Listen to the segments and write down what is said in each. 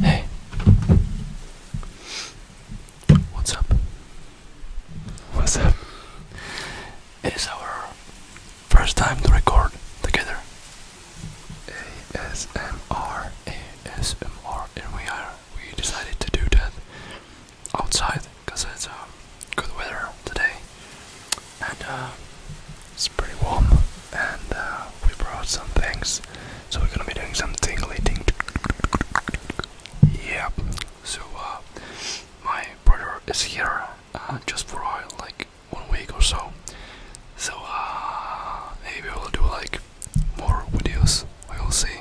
Hey. What's up? What's up? It's our first time to record together. ASMR, ASMR, and we are we decided to do that outside because it's a uh, good weather today, and uh, it's pretty warm, and uh, we brought some things, so we're gonna be doing some tingly ting. Yeah. So uh, my brother is here uh, just for like one week or so. So uh, maybe we'll do like more videos. We will see.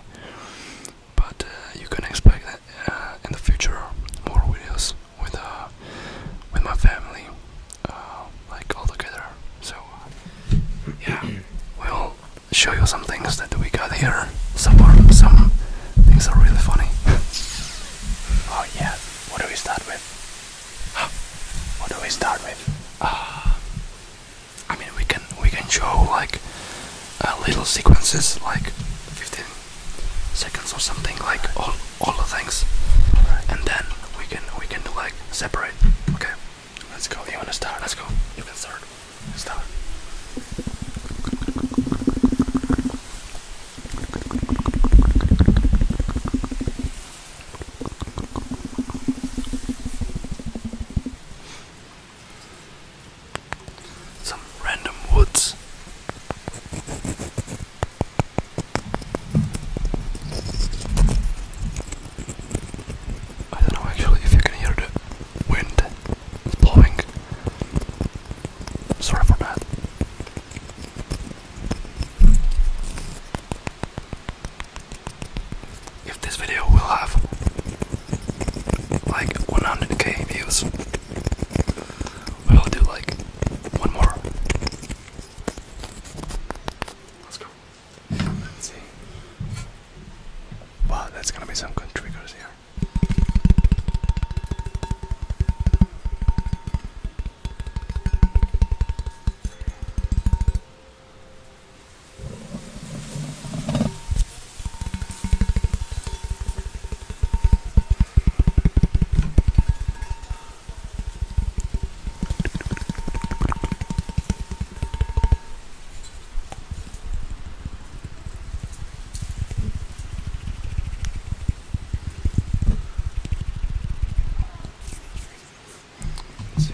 But uh, you can expect that uh, in the future more videos with uh, with my family. Uh, like all together. So yeah, we'll show you some things that we got here. Some some things are really funny. Oh yeah, what do we start with? What do we start with? Uh, I mean, we can we can show like uh, little sequences, like 15 seconds or something, like all all the things, and then we can we can like separate. Okay, let's go. You wanna start? Let's go. You can start. Start. Some random woods. I don't know actually if you can hear the wind it's blowing. Sorry for that. If this video will have like 100k views, we will do like one more. Let's go. Wow, that's gonna be some good triggers here.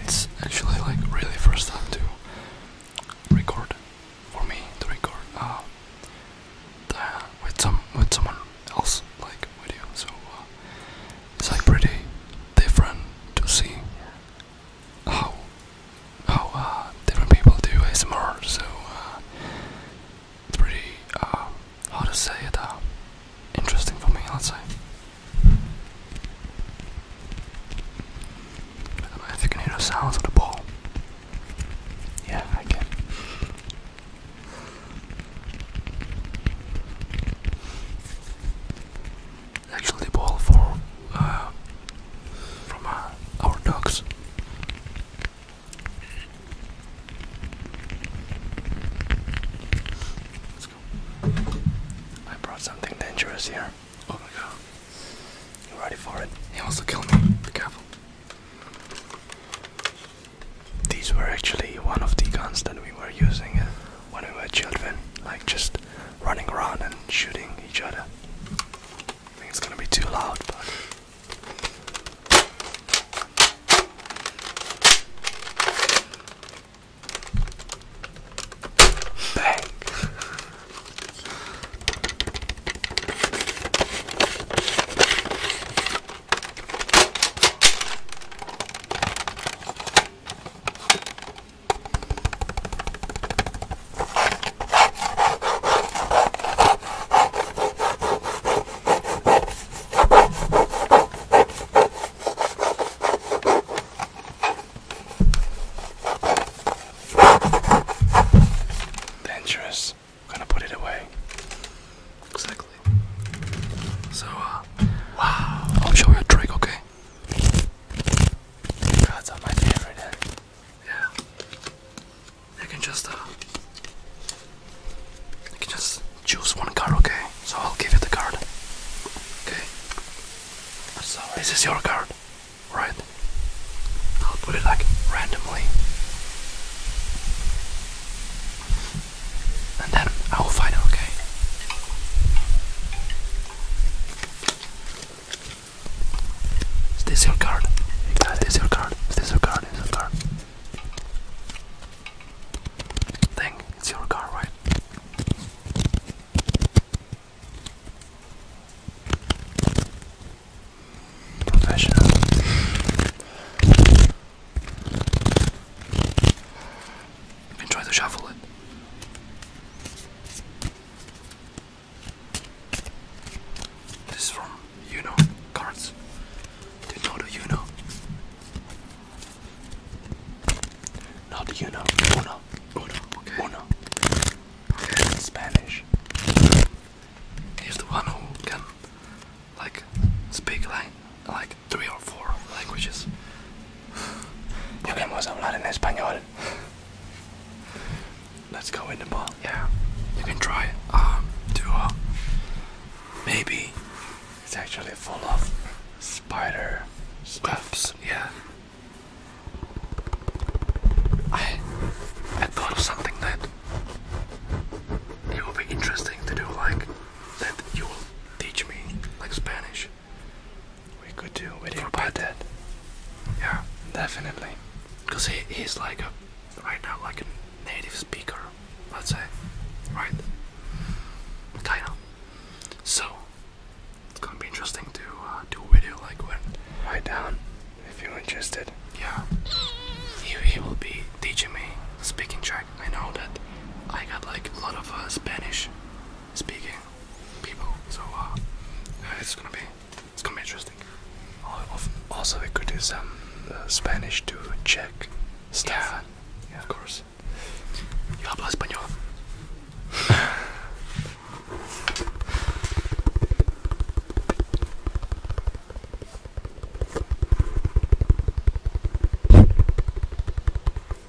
It's actually like really first time to record for me to record uh, with some with someone else like video, so uh, it's like pretty different to see how how uh, different people do ASMR. So uh, it's pretty how uh, to say it interesting for me. I'd say. I do you can hear the sounds of the ball. Yeah, I can actually ball for uh, from uh, our dogs. Let's go. I brought something dangerous here. Oh my god. You ready for it? He wants to kill me. Be careful. These were actually one of the guns that we were using uh, when we were children, like just running around and shooting each other. it's gonna be too loud, Bang! Dangerous. I'm gonna put it away. Exactly. So, uh, wow. I'll show you a trick, okay? Cards are my favorite. Eh? Yeah, you can just uh, you can just choose one card, okay? So I'll give you the card. Okay. So this is your card, right? I'll put it like randomly and then I will find it, okay? Is this your card? Is this your card? Is this your card? Is this your card? Dang, it's your card, right? Professional to shuffle it. This is from know, cards. Do you know the Uno? Not the Uno. Uno. Uno. Okay. Uno. Okay. In Spanish. He's the one who can like speak like like three or four languages. Yo queremos hablar in Spanish. let Let's go in the ball. Yeah, you can try um, to uh, maybe it's actually full of spider stuffs. Yeah, I I thought of something that it would be interesting to do, like that you will teach me like Spanish we could do a video about that. Yeah, definitely. Because he, he's like a, right now, like a native speaker, let's say. Right? Kinda. So, it's gonna be interesting to uh, do a video like when. Write down if you're interested. Yeah. He, he will be teaching me speaking track. I know that I got like a lot of uh, Spanish speaking people. So uh, it's gonna be it's gonna be interesting. Also, we could do some uh, Spanish to Czech stuff. Yeah, of course. Yo hablo español.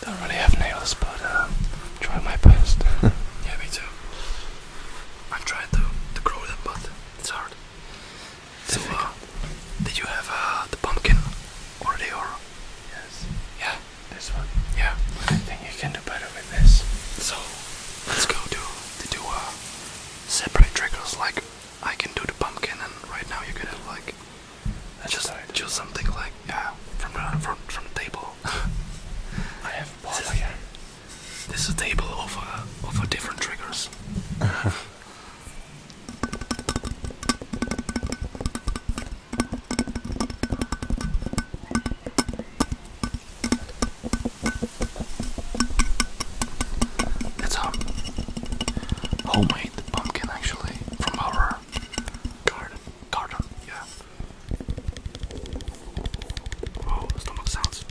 Don't really have nails, but uh, try my best. yeah, me too. i am trying to, to grow them, but it's hard. So, uh, did you have uh, the pumpkin already, or? Yes. Yeah. This one. Yeah. I think you can do better with this. So, let's go to to do uh, separate trickles. Like, I can do the pumpkin, and right now you can have like I just Sorry. choose something like yeah from from from the table. I have this, is a table of uh, of uh, different triggers. It's a um, homemade pumpkin actually from our Garden. Garden. Yeah. Wow, oh, stomach sounds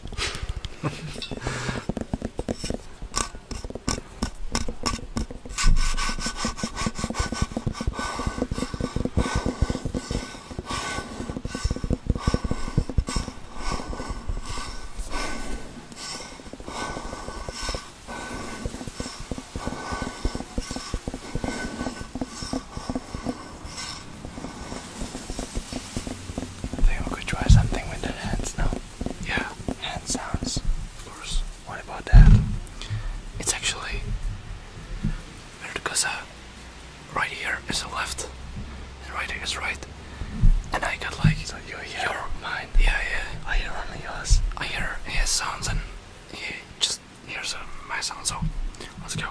we could try something with the hands now. Yeah, hand sounds. Of course. What about that? It's actually because uh, right here is a left, and right here is right. And I got like so you hear your mind. Yeah, yeah. I hear only yours. I hear his sounds and he just hears uh, my sound, so let's go.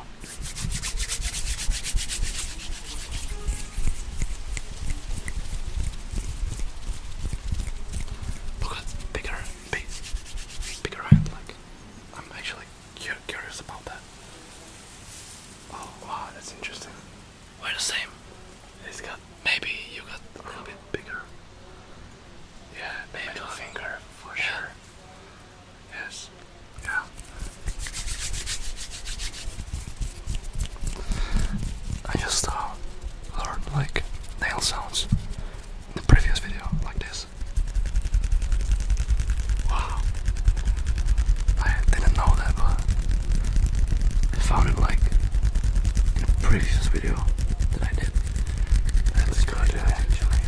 Look at bigger, big, bigger hand. Like I'm actually curious about that. Oh wow, that's interesting. We're the same. He's got Maybe you got a little bit bigger. Yeah, maybe a like, finger for sure. Yes. Yeah. I just uh, learned like nail sounds in the previous video, like this. Wow. I didn't know that, but I found it like in the previous video that I did. That's good, actually.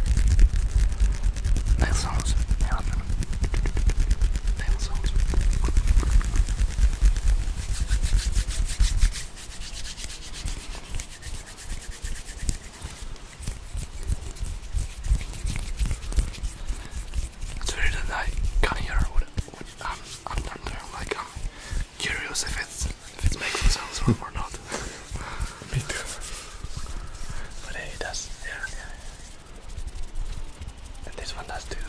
Nail sounds. Yeah, nail sounds. It's weird that can't hear what, I'm, I'm down there, like i um, curious if it's if it makes a or not. Me too. But it does. Yeah. yeah. And this one does too.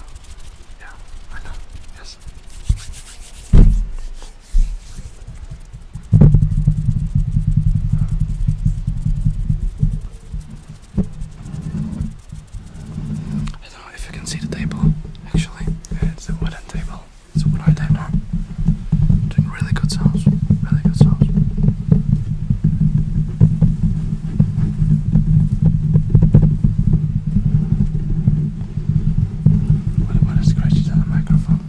Yeah, I know. Yes. I don't know if you can see the table, actually. It's a wooden table. It's what I do Doing really good sounds. Really good sounds. What what is scratches on the microphone?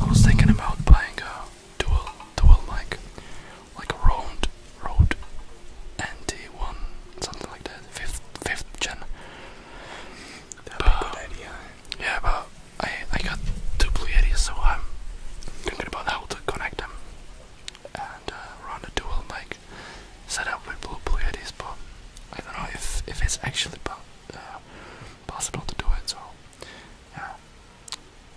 I was thinking about buying a dual dual mic, like a round road NT1, something like that, fifth fifth gen. a good idea. Yeah, but I I got two blue Yetis, so I'm thinking about how to connect them and uh, run a dual mic like set up with blue Pleiades, but I don't know if if it's actually uh, possible to do it. So yeah,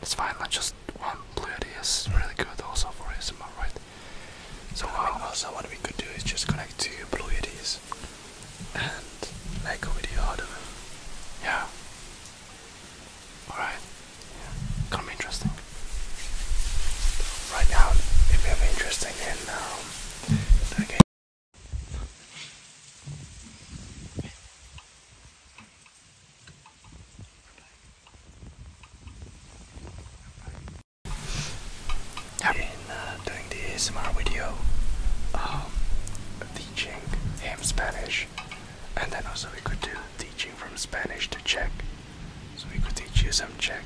it's fine. Like just one Pleiades is really good also for ASMR, right? So uh, also what we could do is just connect to Pleiades and make a video out of it. Yeah. Alright. Yeah. be interesting right now, if you have interest in um, that game. In uh, doing the ASMR video, um, teaching him Spanish, and then also we could do teaching from Spanish to Czech. So we could teach you some Czech.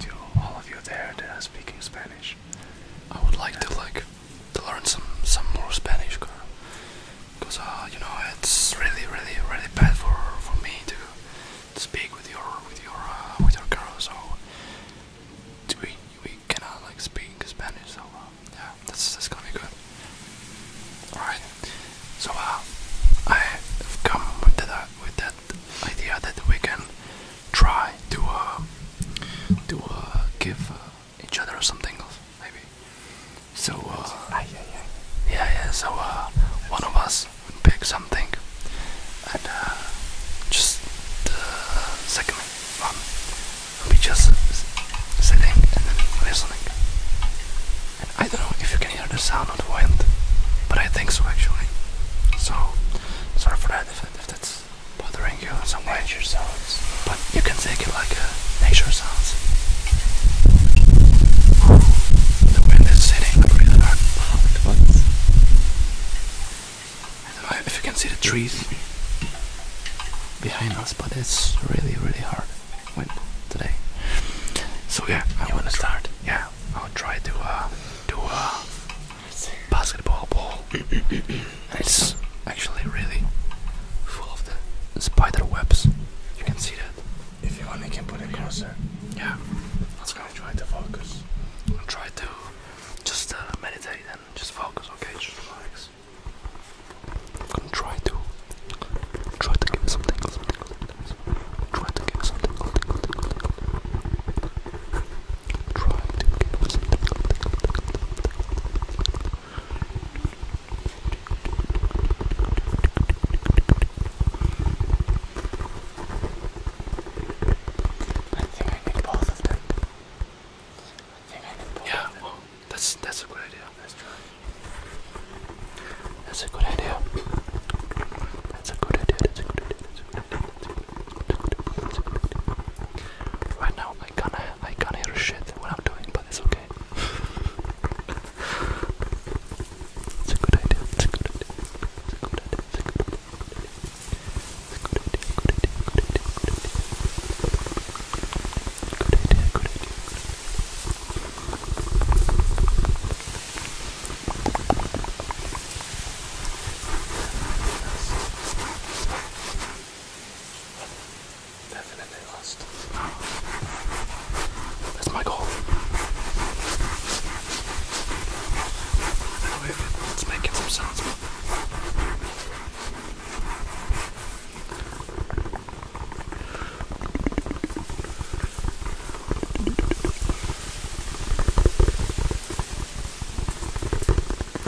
To all of you there that are speaking Spanish. I would like to like to learn some some more Spanish, girl. Cause uh, you know it's really really really bad for for me to, to speak with your with your uh, with your girl. So we we cannot like speak Spanish. So uh, yeah, this that's gonna be good. All right. So I've come with that with that idea that we can try to uh, to uh, give uh, each other something, maybe. So uh, yeah, yeah. So one of us would pick something, and just the second one just sitting and then listening. And I don't know if you can hear the sound of wind, but I think so actually. So, sorry for that if, that's bothering you some Nature sounds. But you can take it like uh, nature sounds. The wind is hitting really hard. What? if you can see the trees behind us, but it's really, really hard wind today. So yeah, I want to start. Yeah, I'll try to. Uh, to a uh, basketball ball, it's actually really full of the spider webs. You can see that. If you want, I can put it closer. Yeah, let's go. Try to focus. I'll try to just uh, meditate and just focus. Okay, just relax. I'm gonna try to try to give you something. Try to give something. Try to give something. I think I need both of them. I think I need both yeah, that's that's a good idea. Let's try. That's a good idea. That's a good idea. That's a good idea. Right now, I can't, I can't hear shit what I'm doing, but it's okay. Good idea. Good idea. Good idea. Good idea. Good idea. Good idea. Good idea. Definitely lost. That's my goal. Oh, I don't know if it's making some sounds.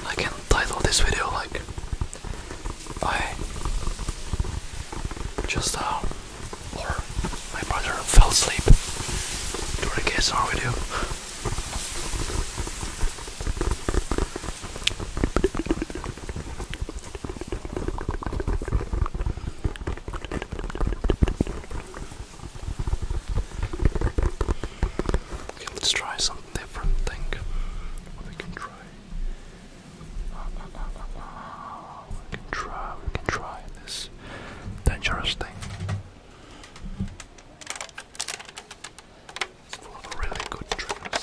I can title this video like I just uh or my brother fell asleep during a KSR video. Okay, let's try something different thing. we can try. Ah, ah, ah, we can try. We can try this dangerous thing. It's full of really good triggers.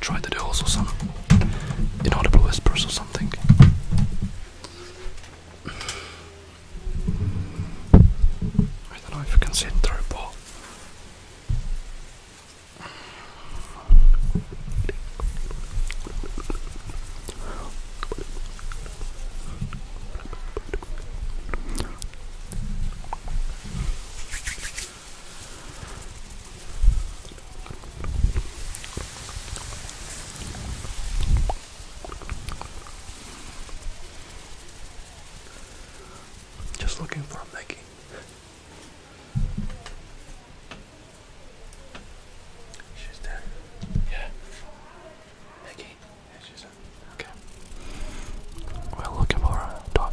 Try to do also some inaudible whispers or something. I don't know if you can see it through a ball. Just looking for a Mickey. She's there. Yeah. Mickey. Yeah, she's there. Okay. We're looking for a dog.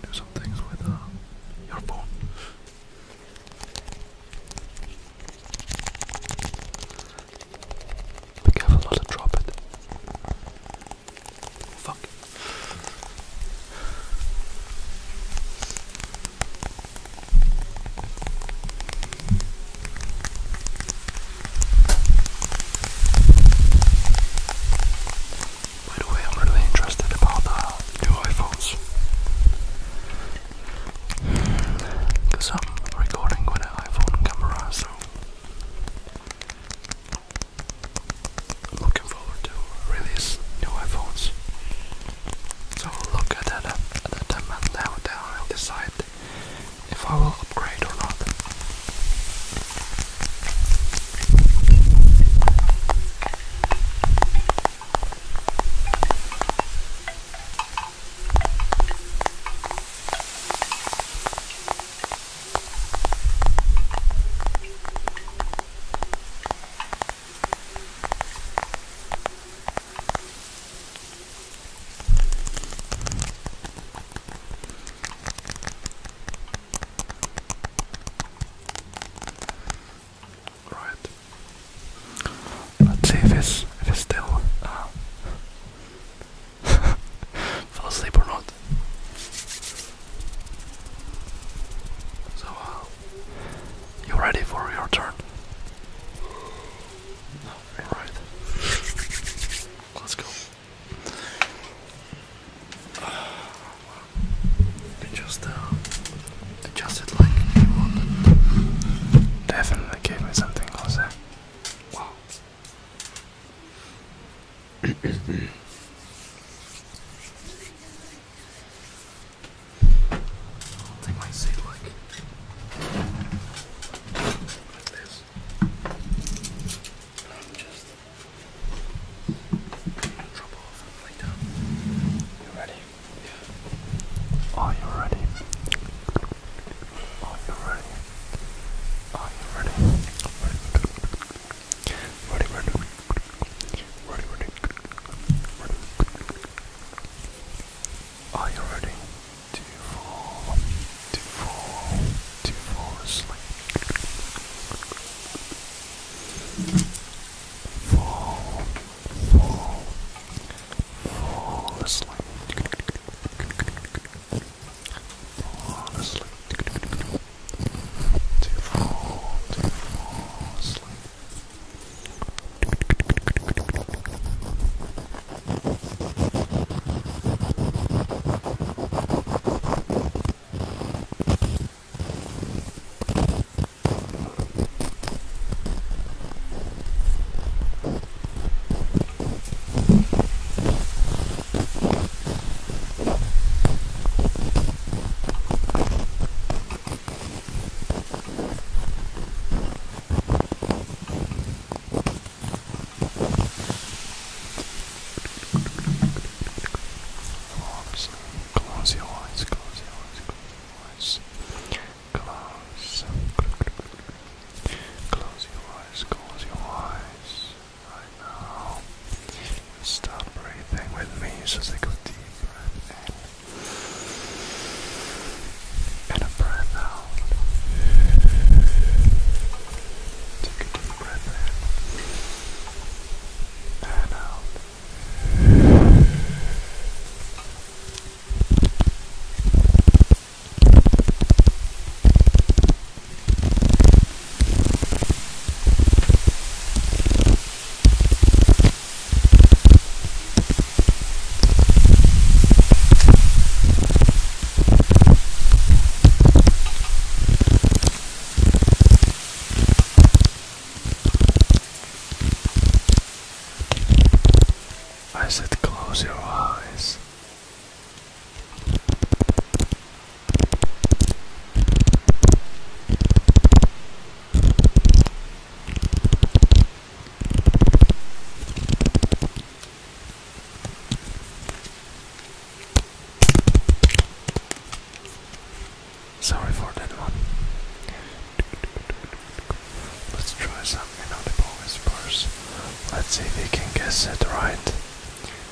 Do some things with uh, your phone. Be careful not to drop it. Fuck. By the way, I'm really interested about the new iPhones. Because I'm recording with an iPhone camera, so i looking forward to release new iPhones. So look at that at that time now then I'll decide if I will upgrade or not. Right. Let's see if it's if it's still uh, Fell asleep or not? So, uh, you ready for your turn? Alright. Let's go. just adjust uh, it like you wanted. Definitely gave something, Jose. Wow. I'll take like, this. am just gonna drop You ready? Yeah. Are you ready? Are you ready? Are you ready? Ready, ready, ready, ready, Are you ready to fall, to fall, to fall asleep? Fall, fall, fall asleep fall asleep. To fall, to fall asleep. Close, close your eyes, close your eyes, close your eyes. Close. Close your eyes, close your eyes. I know. Stop breathing with me. Just take a deep breath in and a breath out. Take a deep breath in and out. I said, close your eyes. Sorry for that one. Let's try some inaudible whispers. Let's see if we can guess it right.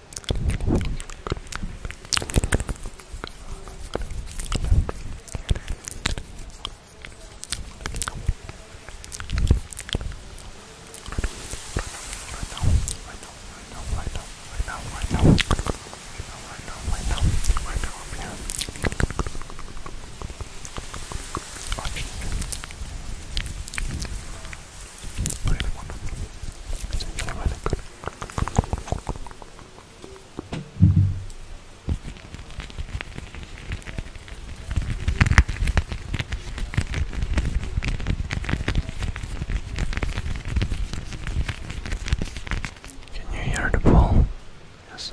really wonderful. It's really, really good. Can you hear the ball? Yes.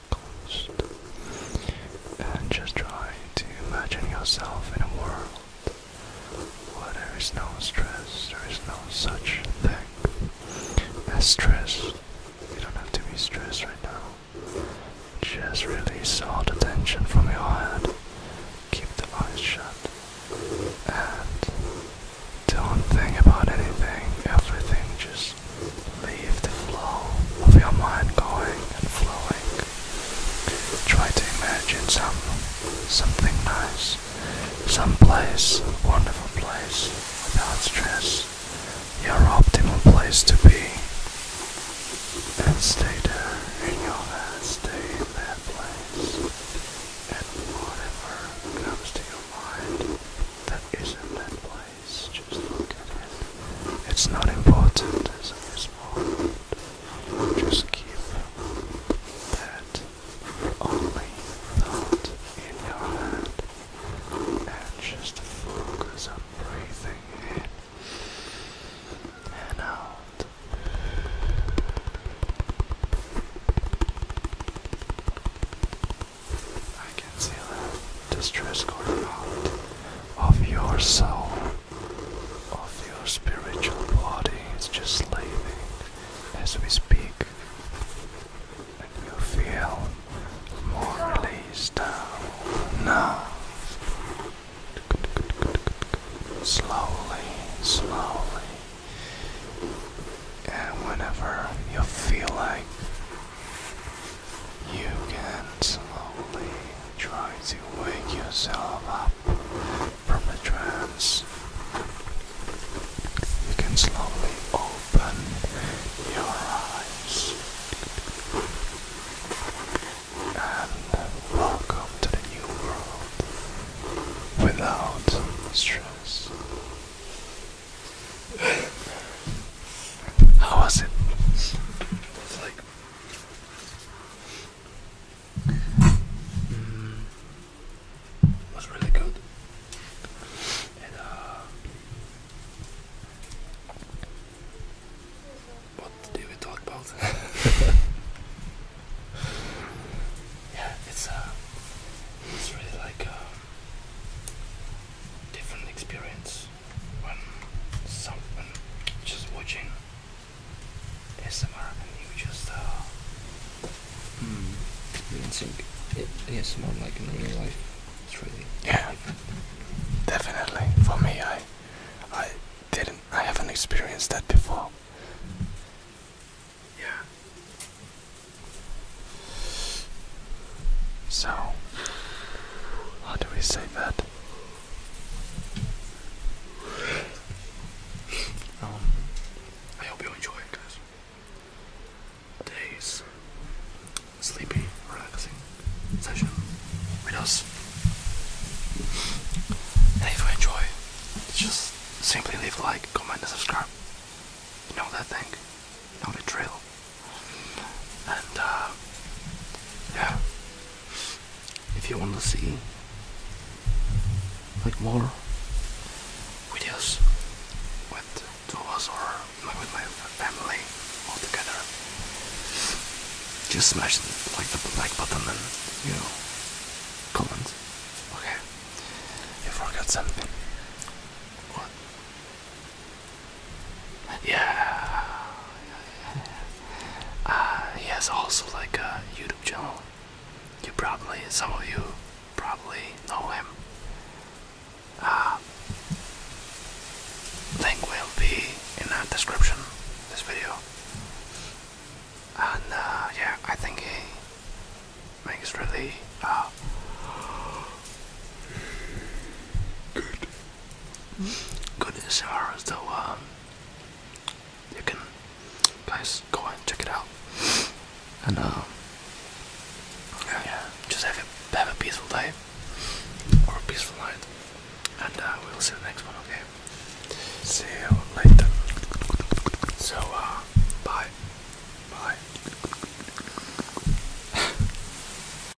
closed. And just try to imagine yourself in a world where there is no stress, there is no such thing as stress. You don't have to be stressed right now. Just release all the tension from your head. Keep the eyes shut. And don't think about anything. Everything just Leave the flow of your mind going and flowing. Try to imagine some something nice, some place, wonderful place, without stress, your optimal place to be. And stay there in your head, stay in that place. And whatever comes to your mind that isn't that place. It's not important as of this moment. Just keep that only thought in your head and just focus on breathing in and out. I can see the distress going out of your soul, of your spiritual body. It's just leaving as we speak, and you feel more released Now, slowly, slowly, and whenever you feel like you can slowly try to wake yourself up from a trance. You can slowly open your eyes. And welcome to the new world without stress. How was it? It's like mm, was really good. And uh what did we talk about? yeah, it's uh it's really like a uh, different experience when someone just watching ASMR and you just uh hmm. you think it ASMR like in real life it's really yeah definitely for me I I didn't I haven't experienced that before yeah so, how do we say that? Um, I hope you enjoy guys. Today's sleepy, relaxing session with us. And if you enjoy, just simply leave like, comment, and subscribe. You know that thing not a drill. And uh, yeah, if you want to see like more videos with two of us or with my family all together, just smash the, like the like button and you know comments. Okay, you forgot something. What? Yeah. Uh, he has also like a YouTube channel. You probably, some of you probably know him. Uh, link will be in the description this video. And uh, yeah, I think he makes really uh, good good showers so um you can guys go and check it out and um, just have a have a peaceful day or a peaceful night and uh, we'll see you next one okay see you later so uh, bye bye